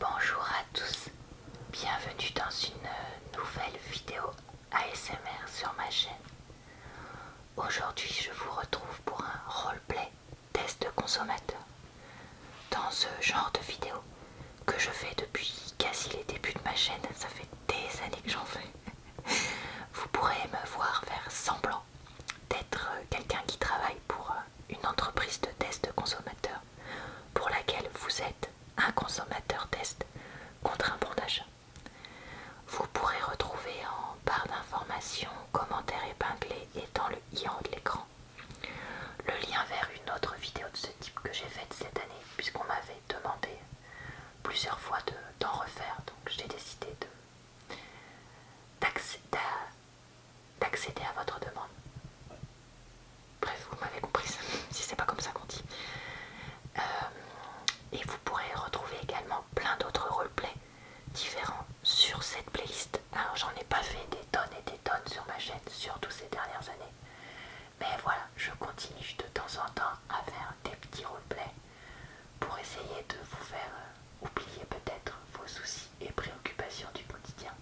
Bonjour à tous, bienvenue dans une nouvelle vidéo ASMR sur ma chaîne. Aujourd'hui je vous retrouve pour un roleplay test consommateur. Dans ce genre de vidéo que je fais depuis quasi les débuts de ma chaîne, ça fait des années que j'en fais, vous pourrez me voir faire semblant d'être quelqu'un qui travaille pour une entreprise de test consommateur pour laquelle vous êtes un consommateur test contre un bon d'achat. Vous pourrez retrouver en barre d'informations, commentaires épinglés et dans le i en haut de l'écran le lien vers une autre vidéo de ce type que j'ai faite cette année puisqu'on m'avait demandé plusieurs fois d'en refaire donc j'ai décidé à d'accéder à votre demande. Bref, vous m'avez compris, si c'est pas comme ça qu'on dit. Euh, et vous pourrez retrouver également plein d'autres roleplays différents sur cette playlist. Alors j'en ai pas fait des tonnes et des tonnes sur ma chaîne, surtout ces dernières années. Mais voilà, je continue de temps en temps à faire des petits roleplays pour essayer de vous faire euh, oubliez peut-être vos soucis et préoccupations du quotidien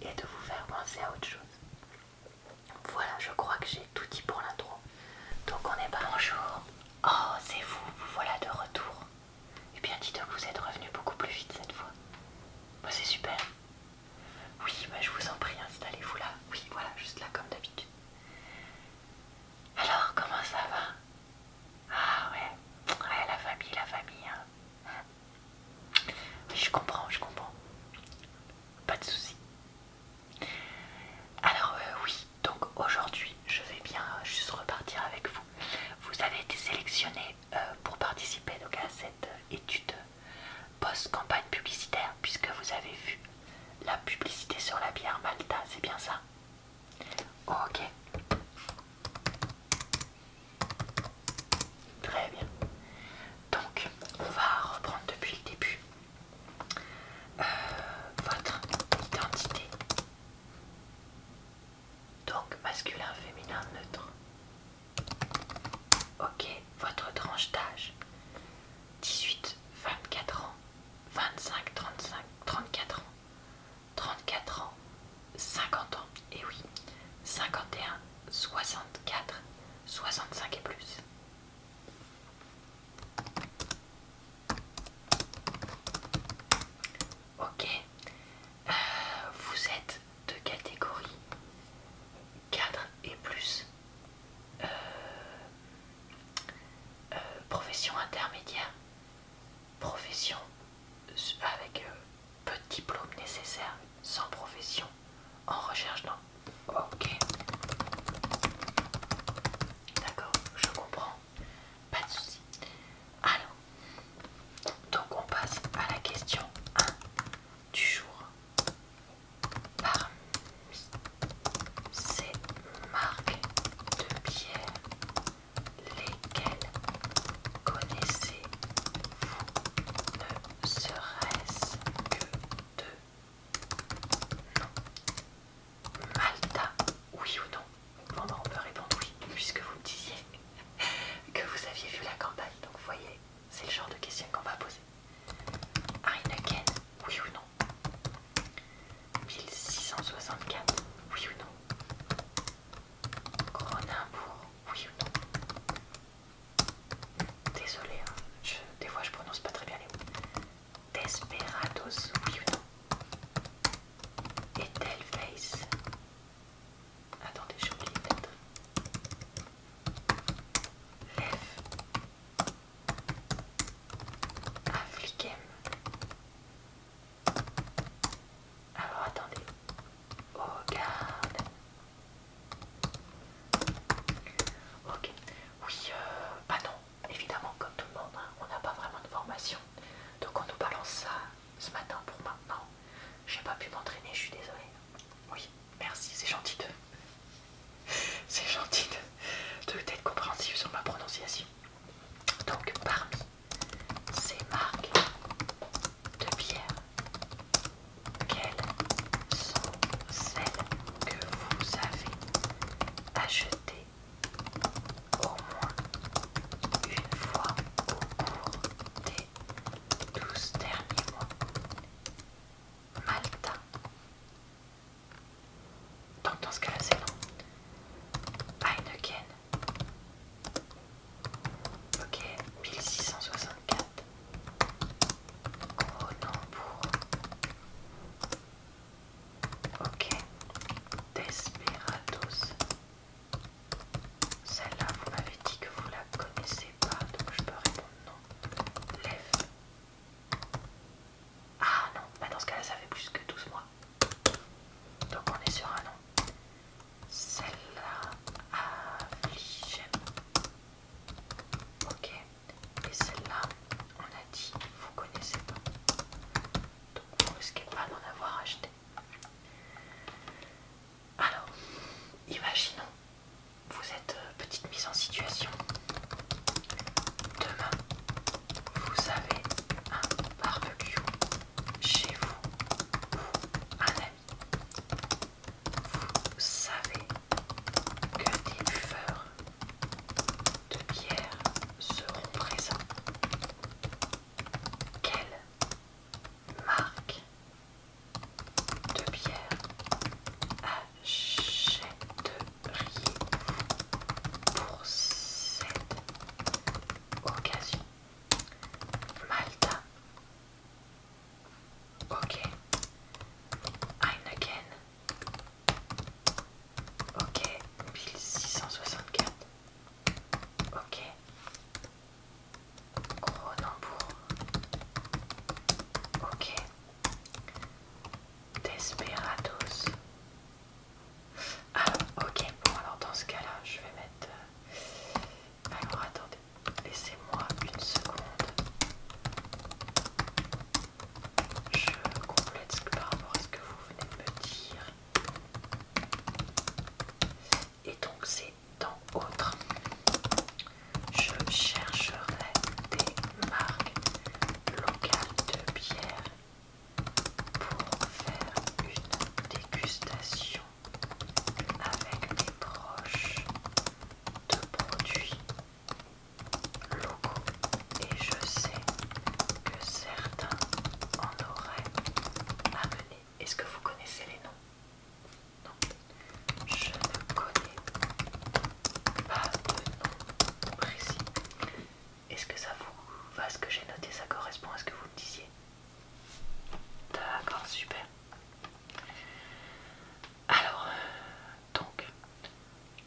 et de vous faire penser à autre chose. Voilà, je crois que j'ai tout dit pour l'intro. Donc on est pas jour. Oh, c'est vous, vous voilà de retour. Eh bien, dites que vous êtes revenu beaucoup plus vite cette fois. Bah, c'est super. Oui, mais bah, je vous en prie, installez-vous là. Oui, voilà, juste là comme d'habitude. Alors, comment ça va Ah ouais, ah, la famille, la famille. Hein. Je comprends, je comprends. Pas de soucis. Alors euh, oui, donc aujourd'hui je vais bien juste repartir avec vous. Vous avez été sélectionné euh, pour participer à cette euh, étude post-campagne publicitaire puisque vous avez vu la publicité sur la bière Malta, c'est bien ça Ok. Très bien. Donc, on va reprendre depuis le début euh, votre identité. Donc, masculin, féminin, neutre. Ok, votre tranche d'âge. 18, 24 ans, 25, 35, 34 ans, 34 ans, 50 ans, et oui, 51, 64, 65 et plus. Ok, euh, vous êtes de catégorie 4 et plus, euh, euh, profession intermédiaire, profession euh, avec euh, peu de diplômes nécessaires, sans profession, en recherche non Ok. D'accord, je comprends. Pas de souci. Alors, donc on passe à la question 1 du jour. Parmi ces marques de pierre lesquels connaissez-vous ne serait-ce que deux noms Malta, oui ou non Bon, ben, on peut répondre oui, puisque vous disiez que vous aviez vu la campagne. Donc, voyez, c'est le genre de question qu'on va poser. Heineken, oui ou non 1664, oui ou non Cronenbourg, oui ou non Désolée, hein, des fois je prononce pas très bien les mots. Desperados, oui ou non Face Attendez, j'ai oublié peut-être. Lève. Aflikem alors attendez. Regarde. Ok. Oui, euh, bah non. Évidemment, comme tout le monde, hein, on n'a pas vraiment de formation. Donc on nous balance ça ce matin pour maintenant. J'ai pas pu m'entraîner, je suis désolée. Oui, merci, c'est gentil de. C'est gentil de être compréhensif sur ma prononciation. Donc parmi ces marques de bière Quelles sont celles que vous avez achetées au moins une fois au cours des 12 derniers mois Malta. Donc dans ce cas-là, c'est non. Heineken, Ok, 1664. Gros pour Ok, Desperados. Celle-là, vous m'avez dit que vous la connaissez pas, donc je peux répondre non. Lève. Ah non, bah, dans ce cas-là, ça fait plus que 12 mois. Donc on est sur un nom. Celle-là, Ok. Et celle-là, on a dit, vous connaissez pas. Donc vous risquez pas d'en avoir acheté. Alors, imaginons, vous êtes euh, petite mise en situation. Demain, vous avez un barbecue chez vous ou un ami. Vous savez que des buveurs de bière seront présents. Quelle marque de bière achète pour cette occasion. Malta. Ok. Heineken. Ok. 1664. Ok. Cronenbourg. Ok. Desperados. Ah, ok, bon, alors dans ce cas-là, je vais mettre. Euh, alors attendez, laissez-moi une seconde. Je complète par rapport à ce que vous venez de me dire. Et donc, c'est dans autre. Je chercherai des marques locales de bière pour faire une dégustation avec mes proches de produits locaux et je sais que certains en auraient amené. Est-ce que vous connaissez les noms Non, je ne connais pas de nom précis. Est-ce que ça vous va ce que j'ai noté Ça correspond à ce que vous me disiez D'accord, super. Alors, donc,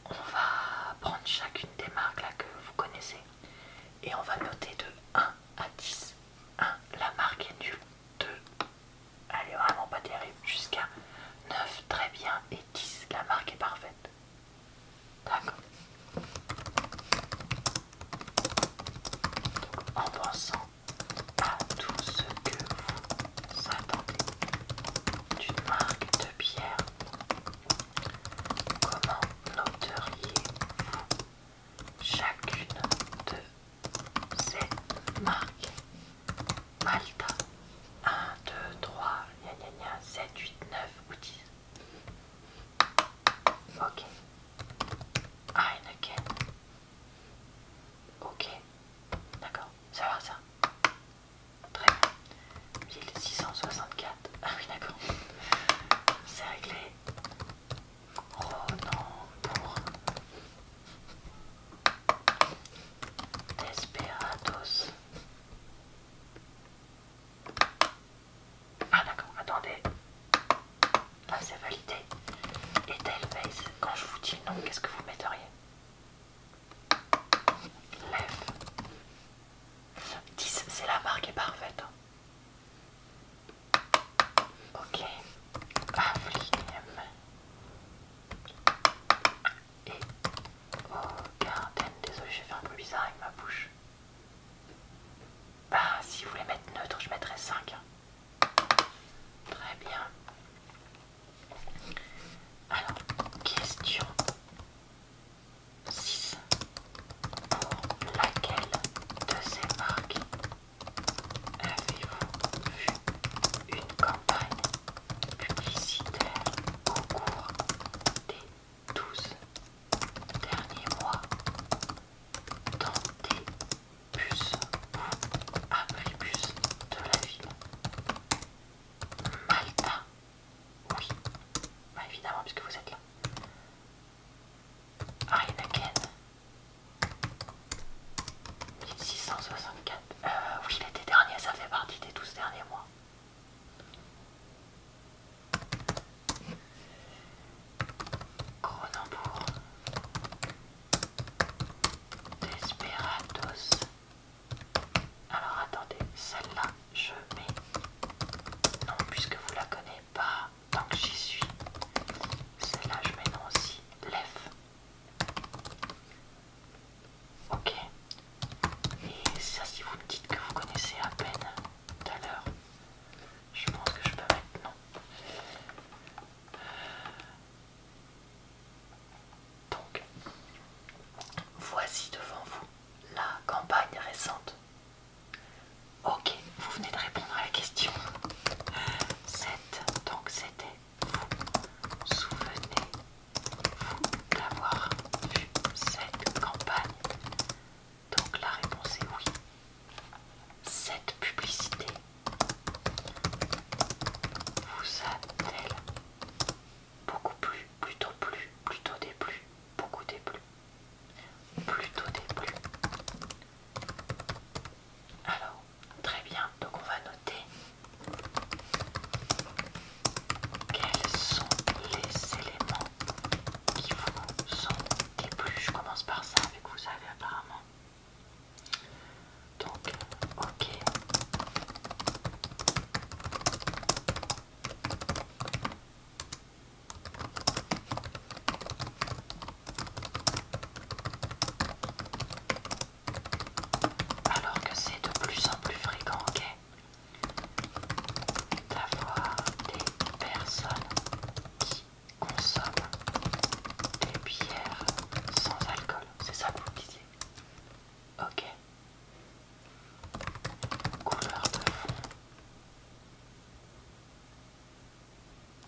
on va prendre chacune des marques là que vous connaissez et on va noter de 1 à 10. 1, la marque est nulle. 2, elle est vraiment pas terrible. Jusqu'à 9, très bien. Et 10, la marque est parfaite en pensant à tout ce que vous attendez d'une marque de bière, comment noteriez-vous chacune de ces marques Malta, 1, 2, 3, gna gna gna, 7, 8, 9 ou 10. Ok. Heineken. Ah, ok. D'accord. Ça va ça Très 1664. Ah oui d'accord. C'est réglé. pour Desperados. Ah d'accord, attendez. Là ah, c'est validé. Et face, quand je vous dis non, qu'est-ce que vous mettriez Lève. 10, c'est la marque est parfaite. Ok. Avlim et euh, aux Désolé, j'ai fait un peu bizarre avec ma bouche. Bah, si vous voulez mettre neutre, je mettrais 5. Très bien. Alors, question 6. Pour laquelle de ces marques avez-vous vu une campagne publicitaire au cours des douze derniers mois dans des bus ou bus de la ville. Malta, oui, bah, évidemment puisque vous êtes là. Heineken, 1664. Euh, oui, l'été dernier, ça fait partie des 12 derniers mois. Cronenbourg, Desperados. Alors attendez, celle-là, je mets non puisque vous la connaissez pas, tant que j'y suis. Celle-là, je mets non aussi. Lef, Ok. Et ça, si vous me dites que vous connaissez à peine tout à l'heure, je pense que je peux maintenant. Donc, voici devant vous la campagne récente. Ok, vous venez de répondre à la question. 7, donc c'était vous souvenez vous, d'avoir vu cette campagne Donc la réponse est oui. Cette publicité vous a-t-elle beaucoup plu, plutôt plus, plutôt déplu, beaucoup déplu, plutôt déplu alors, très bien, donc on va quels sont les éléments qui vous sont plus? Je commence par ça avec vous savez apparemment. Donc, ok alors que c'est de plus en plus fréquent, ok, d'avoir des personnes qui consomment des bières sans alcool. C'est ça que vous disiez Ok. Couleur de fond.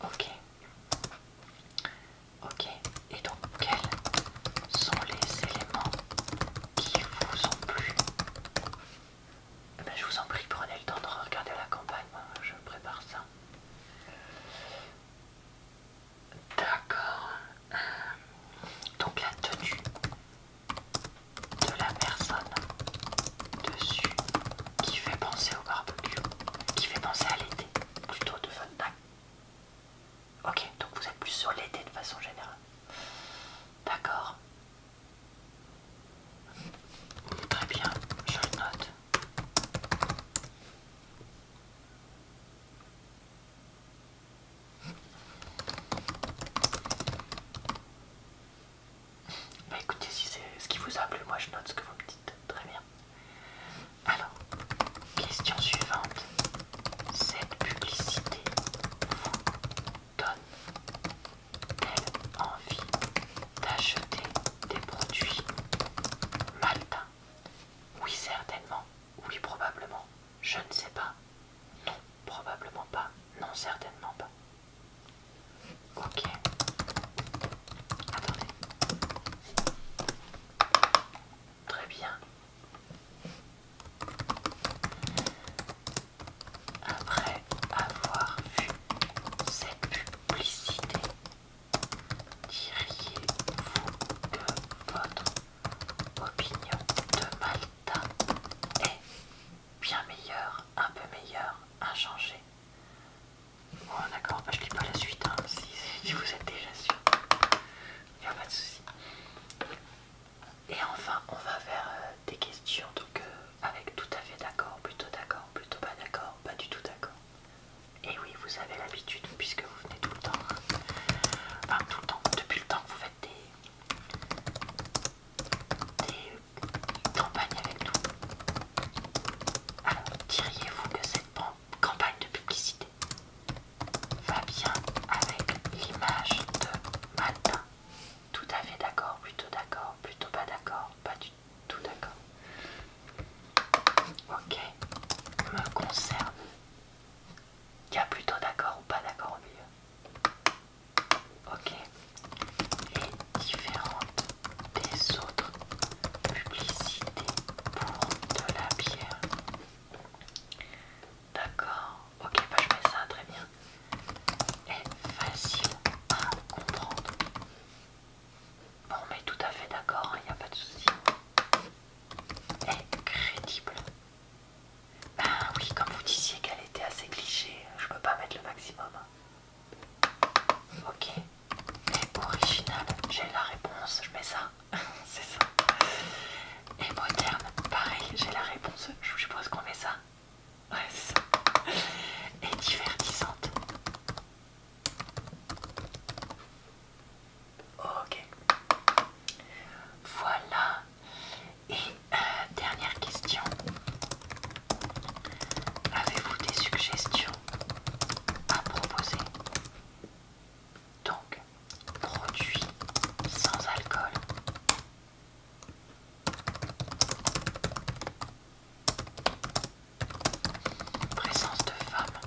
Ok. Ok, et donc quels sont les éléments qui vous ont plu eh ben, Je vous en prie, prenez le temps de regarder la campagne, moi je prépare ça. D'accord. Euh, donc la tenue de la personne dessus qui fait penser au barbecue, qui fait penser à l'été, plutôt de Funback. Ok, donc vous êtes plus sur l'été de façon générale. D'accord. Très bien, je note. Bah écoutez, si c'est ce qui vous a plu, moi je note ce que vous me dites. Très bien. Alors, question suivante. Cette publicité vous donne-t-elle envie d'acheter des produits maltais Oui, certainement. Oui, probablement. Je ne sais pas. Non, probablement pas. Non, certainement pas. Ok. Attendez. Très bien. Après avoir vu cette publicité, diriez-vous que votre opinion de Malta est bien meilleure, un peu meilleure, inchangée Bon d'accord, bah, je lis pas la suite, hein, si, vous êtes déjà sûr. Il n'y a pas de souci. Et enfin, on va faire euh, des questions, donc euh, avec tout à fait d'accord, plutôt d'accord, plutôt pas d'accord, pas du tout d'accord. Et oui, vous avez l'habitude, puisque vous venez tout le temps. Enfin, tout le temps, depuis le temps que vous faites des, campagnes avec nous. Alors, diriez-vous que cette campagne de publicité va bien avec l'image de matin. Tout à fait d'accord, plutôt d'accord, plutôt pas d'accord, pas du tout d'accord. Ok, me concerne. Il y a plutôt d'accord ou pas d'accord au milieu. Ok, les différentes des autres publicités pour de la bière. D'accord, ok, bah je mets ça très bien. Et facile à comprendre. Bon, mais tout à fait d'accord, il hein, n'y a pas de souci. Et crédible. Ben oui, comme vous disiez qu'elle était assez cliché, je peux pas mettre le maximum. Ok. Et original, j'ai la réponse, je mets ça, c'est ça. Et moderne, pareil, j'ai la réponse, je suppose qu'on met ça. Ouais, c'est ça. Et divertissante. Ok. Voilà. Et euh, dernière question. Avez-vous des suggestions à proposer donc, produit sans alcool. Présence de femme.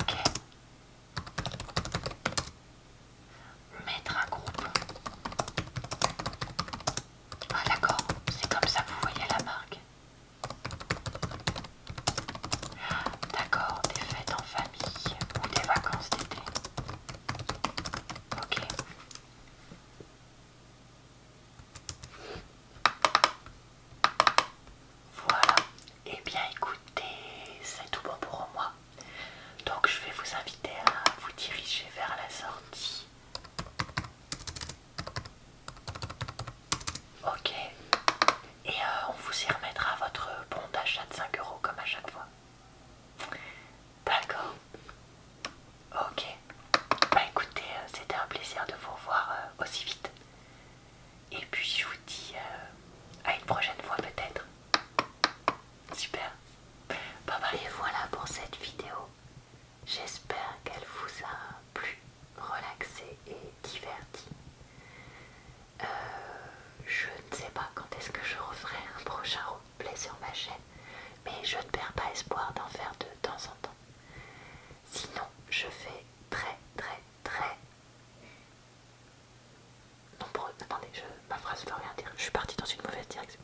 Ok. Mettre un groupe. Ah d'accord, c'est comme ça vous voyez la marque. D'accord, des fêtes en famille ou des vacances d'été. Ok. Voilà. et eh bien écoutez, c'est tout bon pour moi. Donc je vais vous inviter à vous diriger vers la sortie Ok. Et euh, on vous y remettra votre bon d'achat de 5 euros comme à chaque fois. D'accord. Ok. Bah écoutez, euh, c'était un plaisir de vous revoir euh, aussi vite. Et puis je vous dis à une prochaine fois peut-être. Super. Bah voilà pour cette vidéo. J'espère qu'elle vous a plus relaxé et diverti. Euh, je ne sais pas quand est-ce que je referai un prochain replay sur ma chaîne, mais je ne perds pas espoir d'en faire de temps en temps. Sinon, je fais très très très nombreux. Attendez, je... ma phrase ne veut rien dire. Je suis partie dans une mauvaise direction.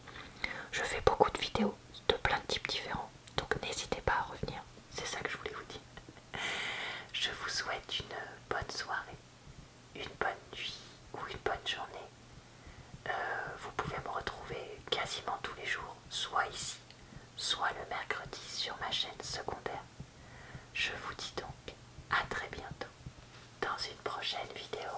Je fais beaucoup de vidéos de plein de types différents. Donc n'hésitez pas à revenir, c'est ça que je voulais vous dire. Je vous souhaite une bonne soirée, une bonne nuit ou une bonne journée. Euh, vous pouvez me retrouver quasiment tous les jours, soit ici, soit le mercredi sur ma chaîne secondaire. Je vous dis donc à très bientôt dans une prochaine vidéo.